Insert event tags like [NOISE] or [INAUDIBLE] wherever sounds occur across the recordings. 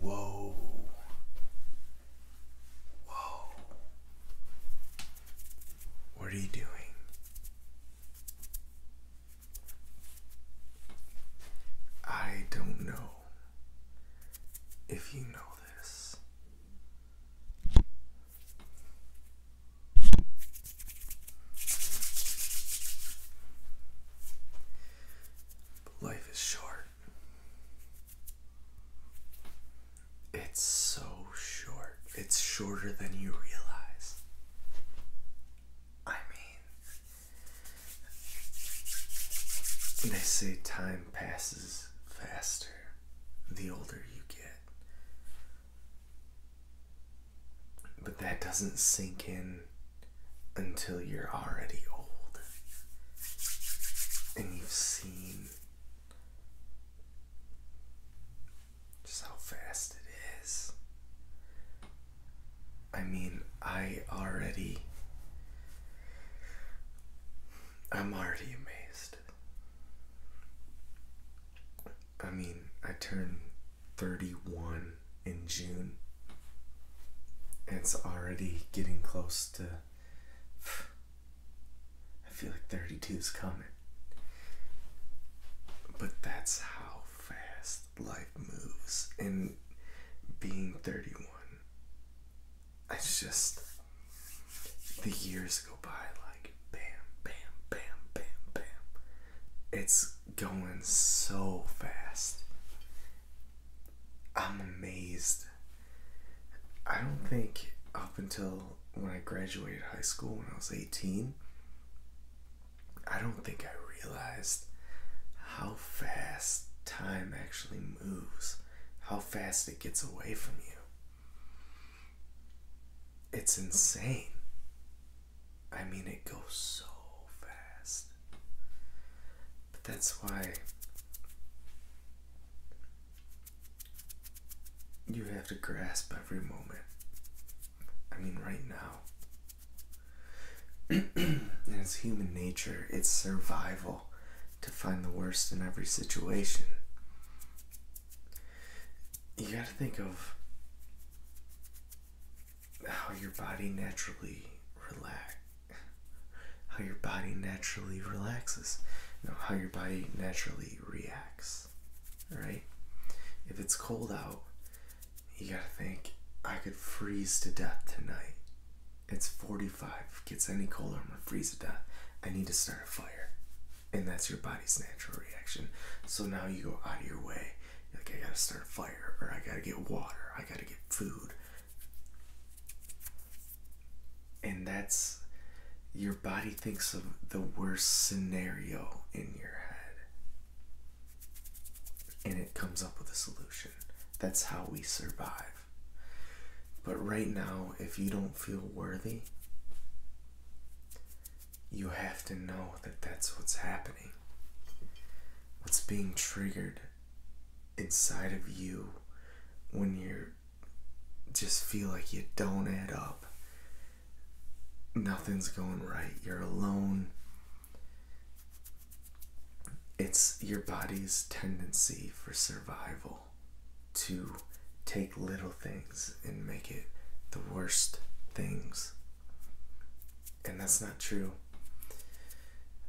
Whoa. Whoa. What are you doing? I don't know if you know this life is short. It's so short. It's shorter than you realize. I mean, they say time passes faster the older you get. But that doesn't sink in until you're already old and you've seen just how fast it is. I mean, I already. I'm already amazed. I mean, I turned 31 in June. It's already getting close to. [SIGHS] I feel like 32 is coming. But that's how fast life moves. in being 31 it's just the years go by like bam, bam, bam, bam, bam. It's going so fast. I'm amazed. I don't think up until when I graduated high school when I was 18, I don't think I realized how fast time actually moves, how fast it gets away from you. It's insane. I mean, it goes so fast. But that's why you have to grasp every moment. I mean, right now. [CLEARS THROAT] and it's human nature, it's survival to find the worst in every situation. You got to think of how your body naturally relax how your body naturally relaxes how your body naturally reacts right if it's cold out you got to think i could freeze to death tonight it's 45, gets any colder, I'm gonna freeze to death. I need to start a fire. And that's your body's natural reaction. So now you go out of your way. like, I gotta start a fire, or I gotta get water, I gotta get food. And that's your body thinks of the worst scenario in your head. And it comes up with a solution. That's how we survive. But right now, if you don't feel worthy, you have to know that that's what's happening. What's being triggered inside of you when you just feel like you don't add up. Nothing's going right. You're alone it's your body's tendency for survival to take little things and make it the worst things. And that's not true.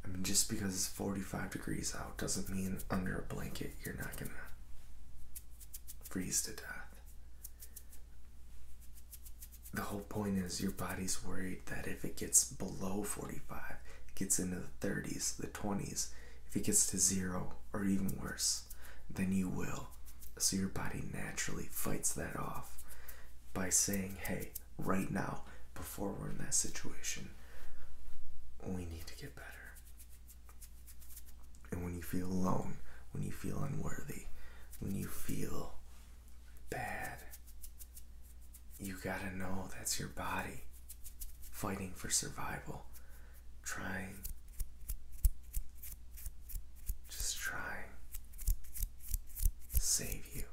I mean, just because it's 45 degrees out doesn't mean under a blanket you're not gonna freeze to death. The whole point is your body's worried that if it gets below 45, gets into the 30s, the 20s, if it gets to zero or even worse, then you will. So your body naturally fights that off by saying, hey, right now, before we're in that situation, we need to get better. And when you feel alone, when you feel unworthy, when you feel bad, you gotta know that's your body fighting for survival, trying, just trying to save you.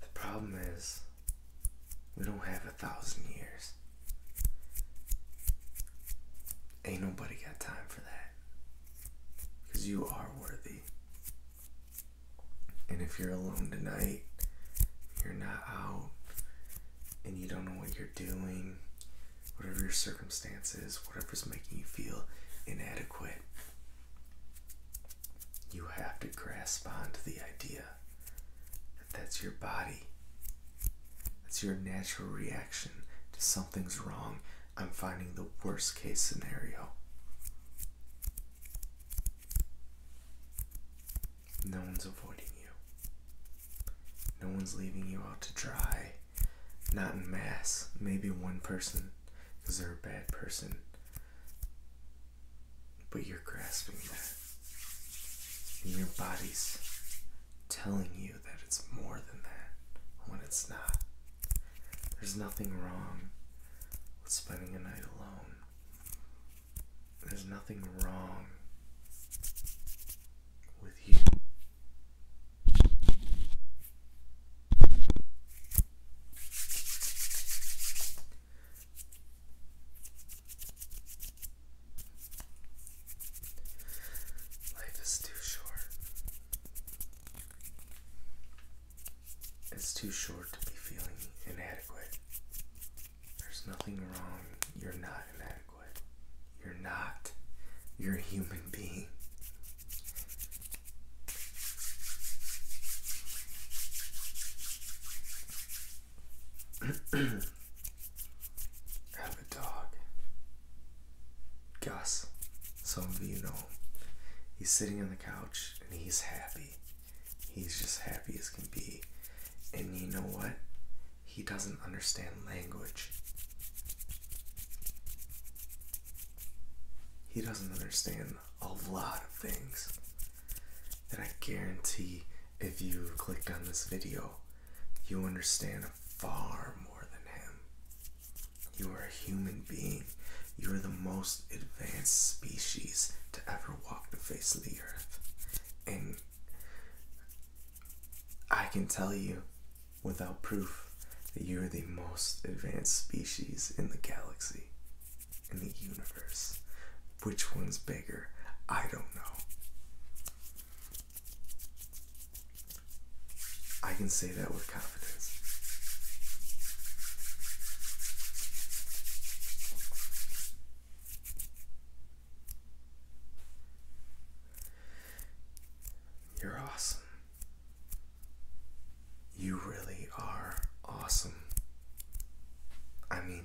The problem is, we don't have a thousand years. Ain't nobody got time for that. Because you are worthy. And if you're alone tonight, you're not out, and you don't know what you're doing, whatever your circumstances, whatever's making you feel inadequate, you have to grasp onto the idea that that's your body. That's your natural reaction to something's wrong I'm finding the worst case scenario. No one's avoiding you. No one's leaving you out to dry. Not in mass. Maybe one person because they're a bad person. But you're grasping that. And your body's telling you that it's more than that when it's not. There's nothing wrong with spending a night alone. There's nothing wrong with you. Life is too short. It's too short to be feeling inadequate. There's nothing wrong. You're not inadequate. You're not. You're a human being. [CLEARS THROAT] have a dog. Gus, some of you know, he's sitting on the couch and he's happy. He's just happy as can be. And you know what? He doesn't understand language. He doesn't understand a lot of things that I guarantee if you clicked on this video, you understand far more than him. You are a human being. You are the most advanced species to ever walk the face of the earth. And I can tell you without proof that you are the most advanced species in the galaxy, in the universe. Which one's bigger? I don't know. I can say that with confidence. You're awesome. You really are awesome. I mean,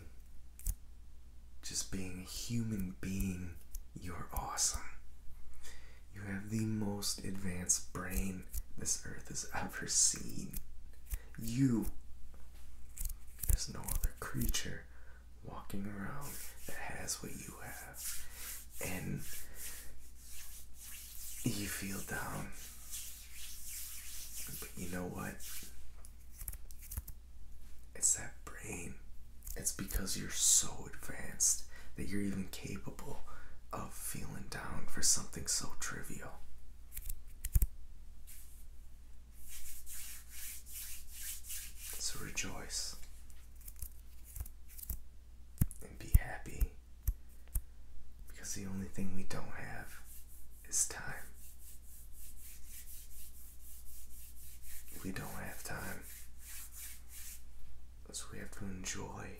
just being human being, you're awesome. You have the most advanced brain this earth has ever seen. You. There's no other creature walking around that has what you have. And you feel down. But you know what? It's that brain. It's because you're so advanced that you're even capable of feeling down for something so trivial. So rejoice and be happy because the only thing we don't have is time. We don't have time. So we have to enjoy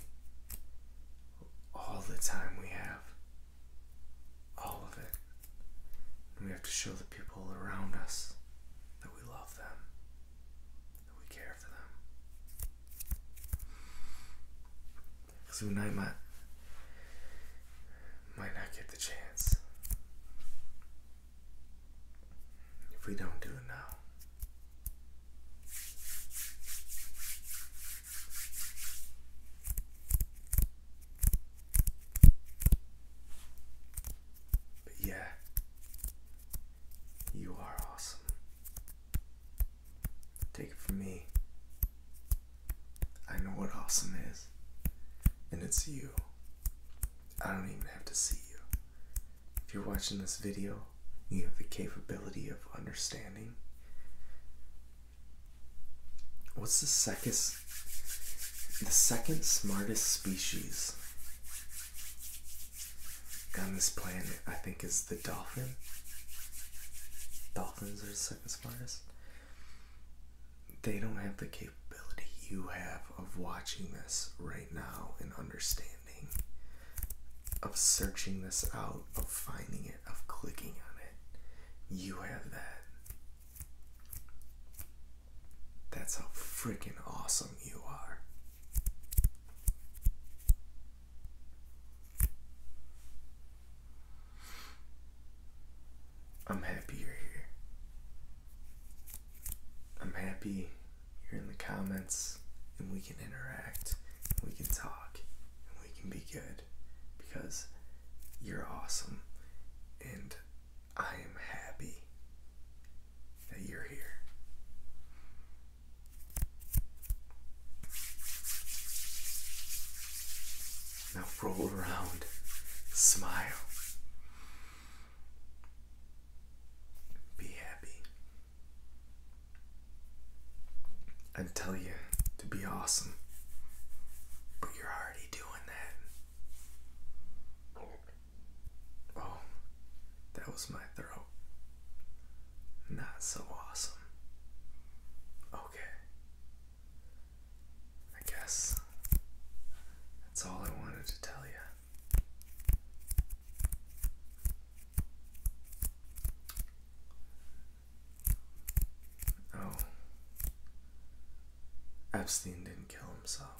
all the time we have. All of it. we have to show the people around us that we love them, that we care for them. Because we might, might not get the chance if we don't do it now. But yeah, you are awesome. Take it from me. I know what awesome is, and it's you. I don't even have to see you. If you're watching this video, you have the capability of understanding. What's the second, the second smartest species on this planet? I think is the dolphin. Dolphins are the second smartest they don't have the capability you have of watching this right now and understanding of searching this out, of finding it, of clicking on it. You have that. That's how freaking awesome you are. I'm happy you're here. I'm happy you're in the comments and we can interact, we can talk, and we can be good because you're awesome and I am happy that you're here. Now roll around, smile, be happy, and tell you to be awesome. But you're already doing that. Oh, that was my throat. Not so awesome. Okay. I guess that's all I wanted to tell you. Oh, Epstein didn't kill himself.